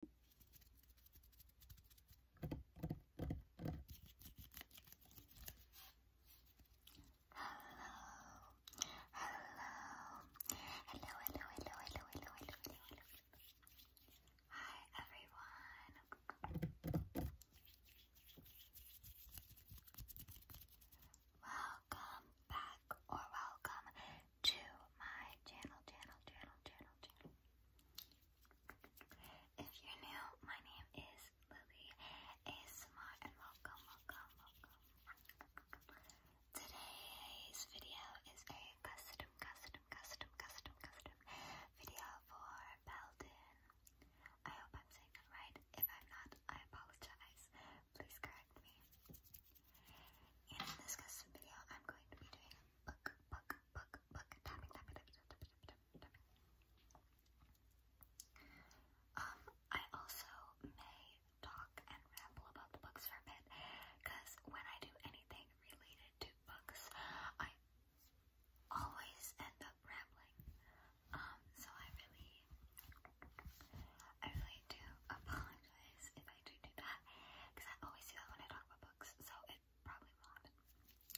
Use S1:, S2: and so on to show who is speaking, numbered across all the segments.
S1: hello, hello, hello, hello, hello, hello, hello. Hi everyone. Welcome back or welcome to my channel, channel, channel, channel, channel. If you're new, my name is Lily ASMR and welcome, welcome, welcome. Today's video is a custom, custom, custom, custom, custom video for Belden. I hope I'm saying that right. If I'm not, I apologize. Please correct me. And in this custom video, I'm going to be doing a book, book, book, book, tapping, tapping, tapping, tapping, tapping, tapping. Um, I also may talk and ramble about the books for a bit, because when I do anything related to books, I always end up rambling. Um, so I really, I really do apologize if I do do that because I always do that when I talk about books, so it probably will happen.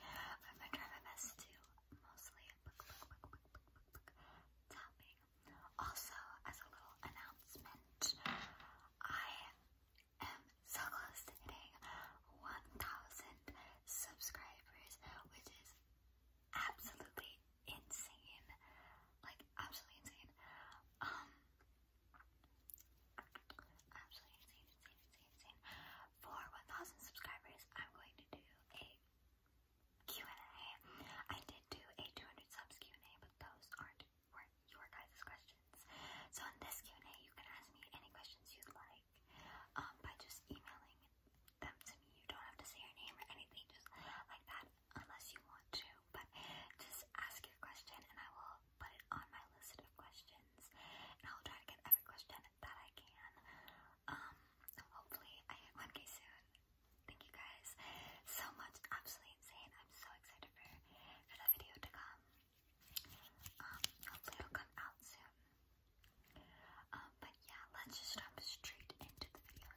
S1: But I'm gonna try my best to mostly book, book, book, book, book, book, book tapping. Also, as a little announcement, I am so close to hitting 1,000 subscribers, which is absolutely insane. Like, absolutely insane. Um, Absolutely insane, insane, insane, insane. For 1,000 subscribers, I'm going to do a Q&A. I did do a 200 subs Q&A, but those aren't weren't your guys' questions. So in this Q&A, you can ask me any questions you'd like um, by just emailing them to me. You don't have to say your name or anything, just like that, unless you want to. But just ask your question, and I will i put it on my list of questions, and I'll try to get every question that I can. Um, hopefully I get one soon. Thank you guys so much. Absolutely insane. I'm so excited for, for that video to come. Um, hopefully it'll come out soon. Um, but yeah, let's just jump straight into the video.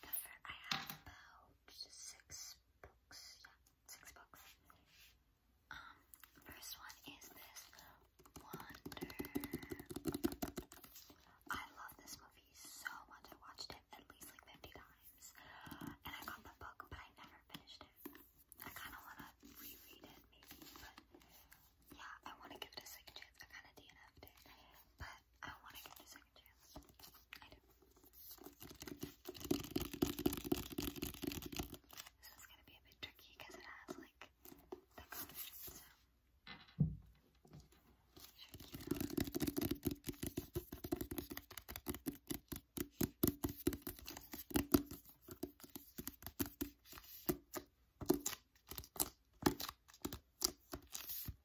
S1: The fir I have about six books. Yeah, six books. Um, first one is this Wonder. I love this movie so much. I watched it at least like 50 times. And I got the book, but I never finished it. I kind of want to reread it, maybe, but yeah, I want to give it a second chance. I kind of DNF'd it, but I want to give this a I do. This is gonna be a bit tricky because it has like the colors, so should keep it on. Okay,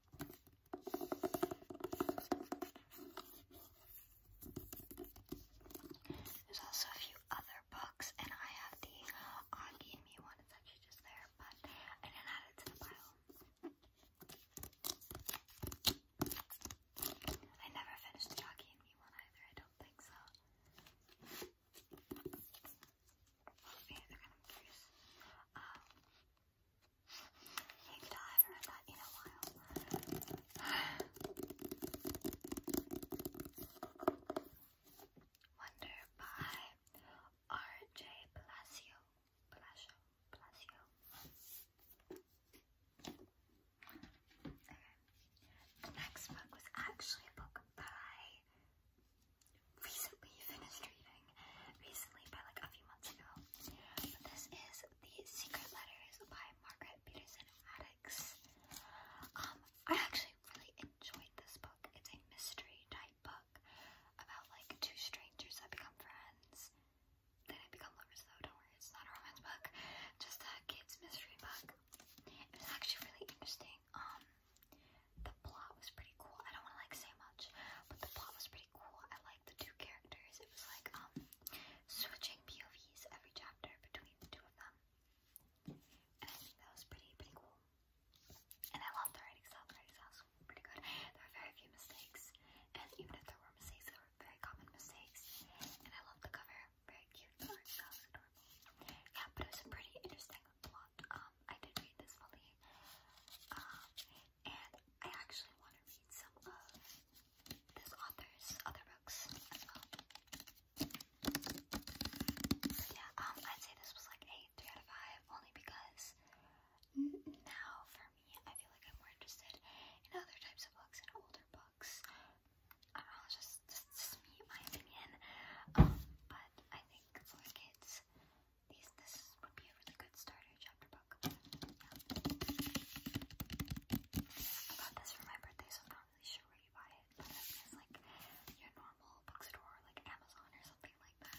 S1: There's also a few other books, and I have the uh, Augie and Me one. It's actually just there, but I didn't add it to the pile. I never finished the Augie and Me one either. I don't think so. Well, yeah, they're kind of curious. Um, I have by R.J. Palacio. Palacio. Palacio. Okay. The next book was actually a book that I recently finished reading. Recently, by like a few months ago. this is the Secret Letters by Margaret Peterson Addicts. Um, I actually really enjoyed this book. It's a mystery type book about like two strangers that become friends. They become lovers though, don't worry, it's not a romance book. Just a kid's mystery book. It was actually really interesting. Um the plot was pretty cool. I don't wanna like say much, but the plot was pretty pretty cool. I liked the two characters. It was like um switching POVs every chapter between the two of them. And I think that was pretty pretty cool. And I loved the writing style. The writing style was pretty good. There were very few mistakes. And even if there were mistakes, they were very common mistakes. And I loved the cover. Very cute. The art style was adorable. Yeah, but it was a pretty interesting plot. Um, I did read this fully. Um, and I actually want to read some of this author's other books as well. So yeah, um, I'd say this was like a three out of five, only because now for me, I feel like I'm more interested in other types of books and older books. I don't know, it's just, just, just me, my opinion. Um, but I think for kids, these this would be a really good starter chapter book. I got this for my birthday, so I'm not really sure where you buy it, but I like your normal bookstore, like Amazon or something like that.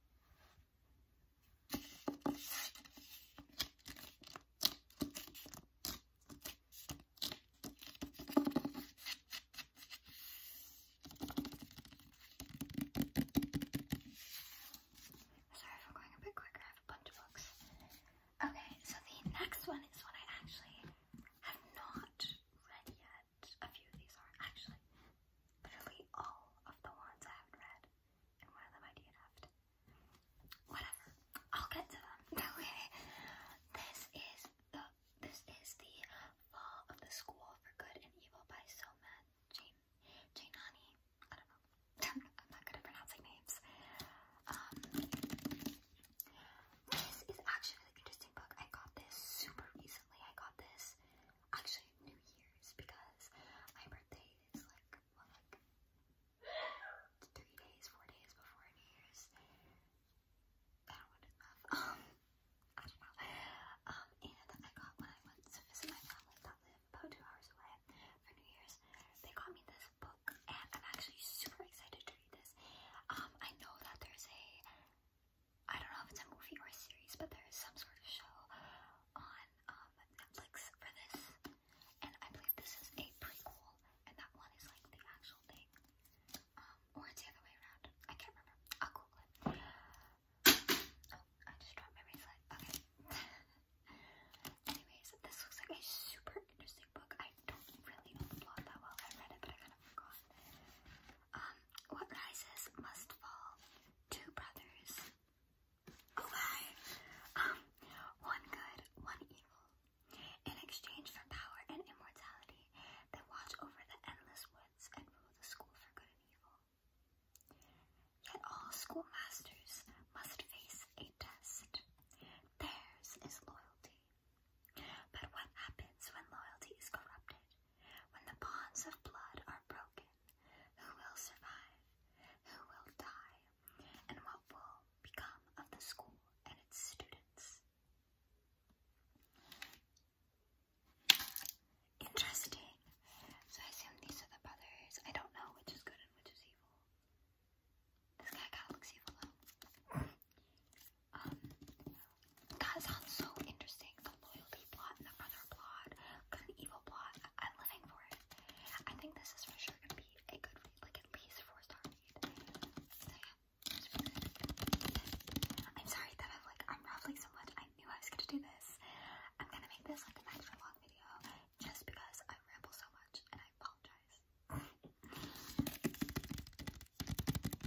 S1: Sorry for going a bit quicker, I have a bunch of books. Okay, so the next one is one I actually have not read yet. A few of these are actually literally all of the ones I haven't read, and one of them I did have to. Whatever, I'll get to them. Okay, this is the this is the Fall of the School for Good and Evil by Soma Jane Jainani. I don't know. I'm not good at pronouncing names. Um, this is actually an interesting book. I got this super recently. I got this actually New Year's because my birthday is like what like three days, four days before New Year's. I don't want to enough. Um I don't know. Um and I got when I went to visit my family that live about two hours away for New Year's. They got me this book and I'm actually super excited to read this. Um I know that there's a I don't know if it's a movie or a series, but there is some sort of show on um, Netflix for this. And I believe this is a prequel, and that one is like the actual thing. Um, or it's the other way around. I can't remember. I'll Google it. Oh, I just dropped my bracelet. Okay. Anyways, this looks like a super interesting book. I don't really know the plot that well. I read it, but I kind of forgot. Um, what rises must fall. Two brothers. Oh hi. Um, one good, one evil. In exchange for power and immortality, they watch over the endless woods and rule the school for good and evil. Yet all schoolmasters must face a test. Theirs is loyalty. But what happens when loyalty is corrupted when the bonds of blood are broken, who will survive? Who will die? And what will become of the school and its students? Interesting. So I assume these are the brothers. I don't know which is good and which is evil. This guy kind of looks evil though. Um, so interesting. The loyalty plot the brother plot, good evil plot. I'm living for it. I think this is for sure gonna be a good read, like at least four star I'm sorry that I'm like I'm rambling so much. I knew I was gonna do this. I'm gonna make this like an extra long video just because I ramble so much and I apologize.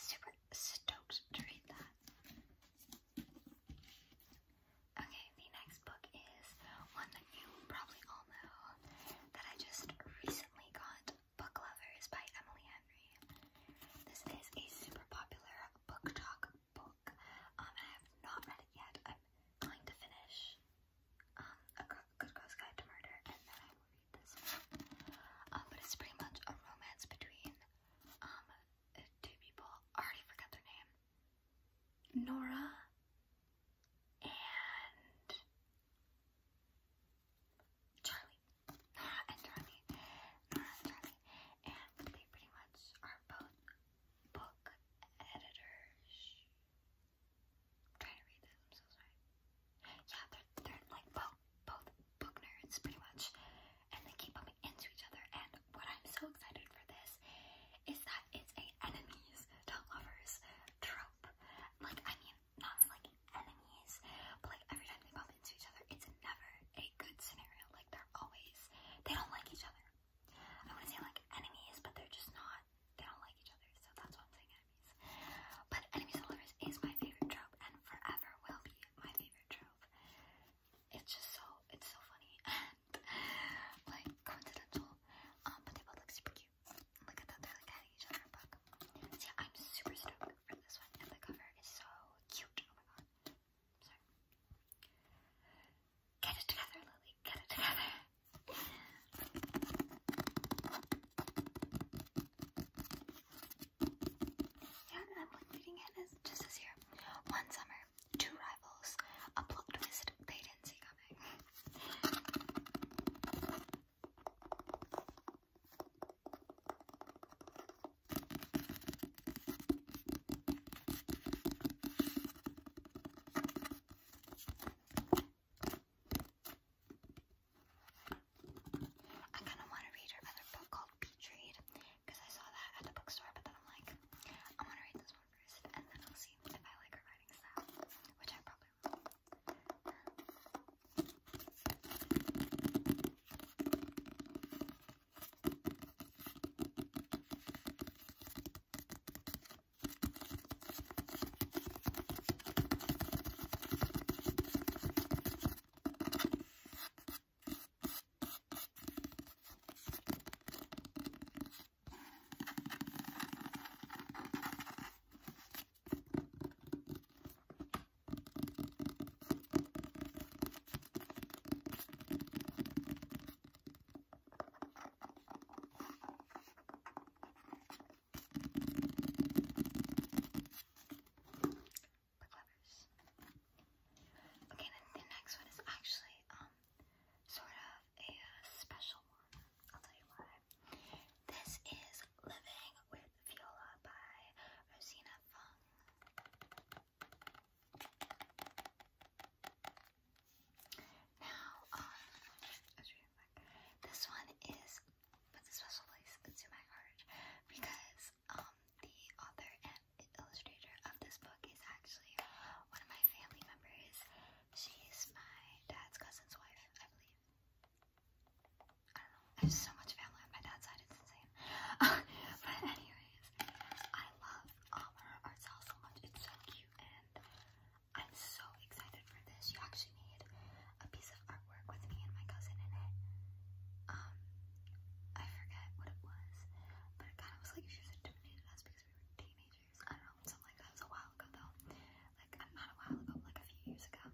S1: Super stoked to read that. Okay, the next book is one that you probably all know that I just recently got, Book Lovers by Emily Henry. This is a super popular book talk book. Um, I have not read it yet. I'm going to finish um, A Good Girl's Guide to Murder and then I will read this one. Um, but it's pretty much a romance between um, two people. I already forgot their name. Nora and Charlie. Nora and Charlie. Nora and Charlie. And they pretty much are both book editors. trying to read this, I'm so sorry. Yeah, they're, they're like both book nerds pretty much. And they keep bumping into each other and what I'm so excited for this is that it's a enemies to lovers trope. Like, I mean, not like enemies, but like every time they bump into each other, it's never a good scenario. Like, they're always, they don't like each other. I want to say like enemies, but they're just not, they don't like each other, so that's why I'm saying enemies. But enemies to lovers is my favorite trope and forever will be my favorite trope it's just so it's so funny and like coincidental. Um, but they both look super cute. Look at that, they're like hiding each other a bug. So yeah, I'm super stoked for this one, and the cover is so cute. Oh my god, sorry. Get it together, Lily. Get it together. Yeah, and I'm like reading it as just as here. One summer. Two rivals. A plot twist they didn't see coming. I kind of want to read her other book called Peach because I saw that at the bookstore, but then I'm like, I want to read this one first, and then I'll see if I like her writing style, which I probably will. The covers. Okay, the next one is actually um sort of a uh, special one. I'll tell you why. This is Living with Viola by Rosina Fung. Now, um, I was reading This one is, puts a special place into my heart because, um, the author and illustrator of this book is actually one of my family members. She's my dad's cousin's wife, I believe. I don't know. I so much family on my dad's side, it's insane. but anyways, I love um, her so much. It's so cute and I'm so excited for this. She actually made a piece of artwork with me and my cousin in it. Um, I forget what it was, but it kind of was like intimidated us because we were teenagers. I don't know, something like that. It was a while ago though. Like, I'm not a while ago, like a few years ago.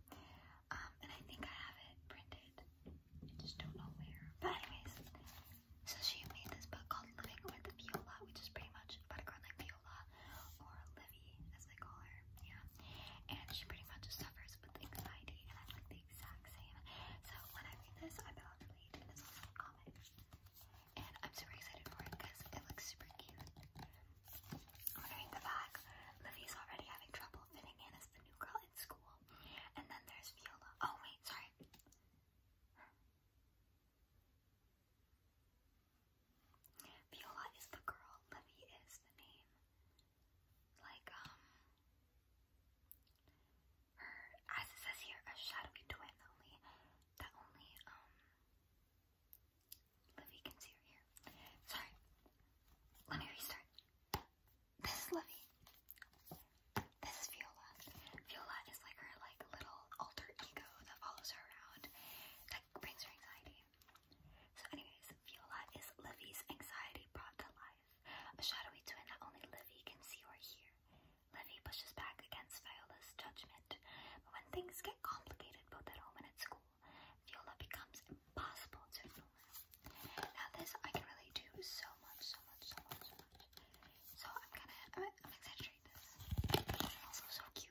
S1: Um, and I think I have it printed. I just don't know where. But anyways, so she made this book called Living with Viola, which is pretty much about a girl named Viola, or Livy, as they call her. Yeah. And she pretty much suffers with anxiety, and I like exact same. So when I read this, I bet i and I'm super excited for it because it looks super cute. i the back. Livy's already having trouble fitting in as the new girl in school. And then there's Viola. Oh wait, sorry. Viola is the girl, Livy is the name. Like, um, as it says here, a shadowy twin that only that only um Livy can see her here. Sorry. Let me restart. This is Livy. This is Viola. Viola is like her like little alter ego that follows her around. That brings her anxiety. So anyways, Viola is Livy's anxiety brought to life. A shadowy twin that only Livy can see or hear. Livy pushes back against Viola's judgment, but when things get complicated both at home and at school, Viola becomes impossible to ignore. Now this I can really do so much, so much, so much, so much. So I'm gonna, I'm, i this. also so cute.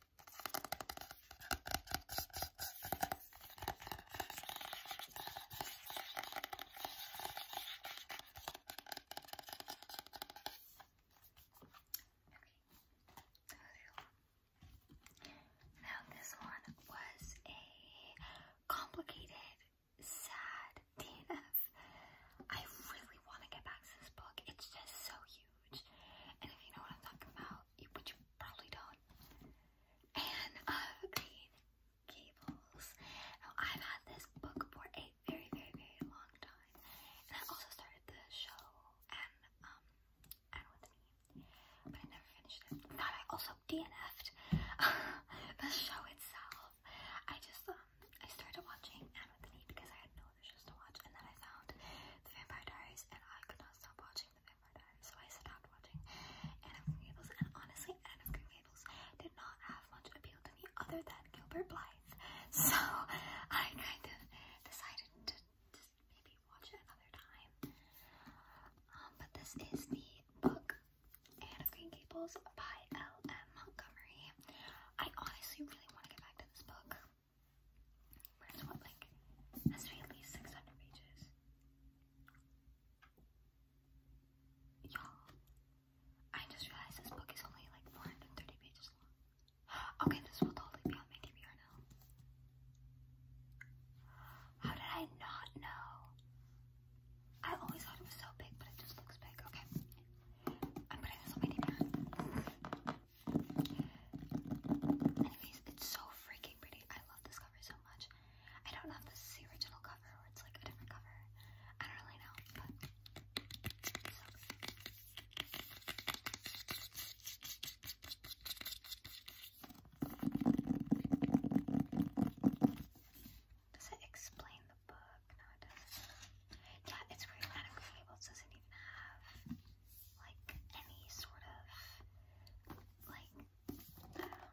S1: Now, this one was a complicated, sad DNF. I really want to get back to this book. It's just so huge. And if you know what I'm talking about, you, you probably don't. And I've uh, made cables. I've had this book for a very, very, very long time. And I also started the show and, um, and with me. But I never finished it. Thought I also DNF'd the show itself. I just, um, I started watching and with me because I had no televisions to watch, and then I found The Vampire Diaries, and I could not stop watching The Vampire Diaries, so I stopped watching Anne of Green Gables, and honestly, Anne of Green Gables did not have much appeal to me other than Gilbert Blythe, so I kind of decided to just maybe watch it another time. Um, but this is the book Anne of Green Gables by L.M. Montgomery. I honestly really want to get back to this book. But it's what, like, has to be at least 600 pages. Y'all, I just realized this book is only like 430 pages long. Okay, this will totally be on my DVR now. How did I not know? I always thought it was so big, but it just looks big. Okay, i Anyways, it's so freaking pretty. I love this cover so much. I don't know if this is the original cover or it's like a different cover. I don't really know, Does it explain the book. No, it it's weird. Adam Gables doesn't even have like any sort of like um,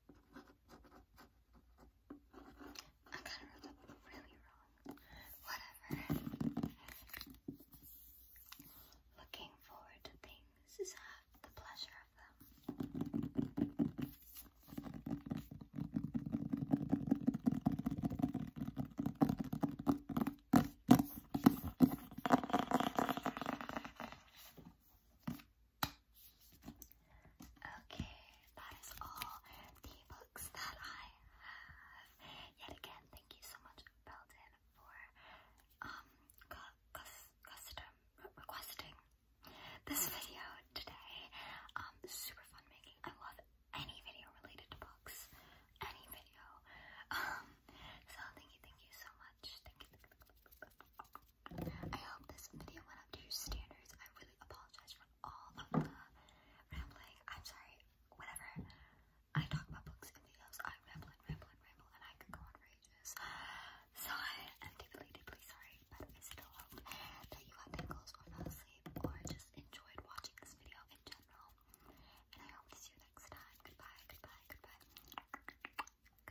S1: I am kind of really wrong. Whatever. Looking forward to things is half the pleasure of them. Okay, that is all the books that I have. Yet again, thank you so much, Belden, for um, custom requesting this video today. Um, super fun making. I love any video related to books, any video. Um, so thank you, thank you so much. I hope this video went up to your standards. I really apologize for all of the rambling. I'm sorry. whatever. I talk about books and videos, I ramble and ramble and ramble, and I can go on rages. So I am deeply, deeply sorry, but I still hope that you got tingles or fell asleep or just enjoyed watching this video in general. And I hope to see you next time. Goodbye, goodbye, goodbye. Goodbye.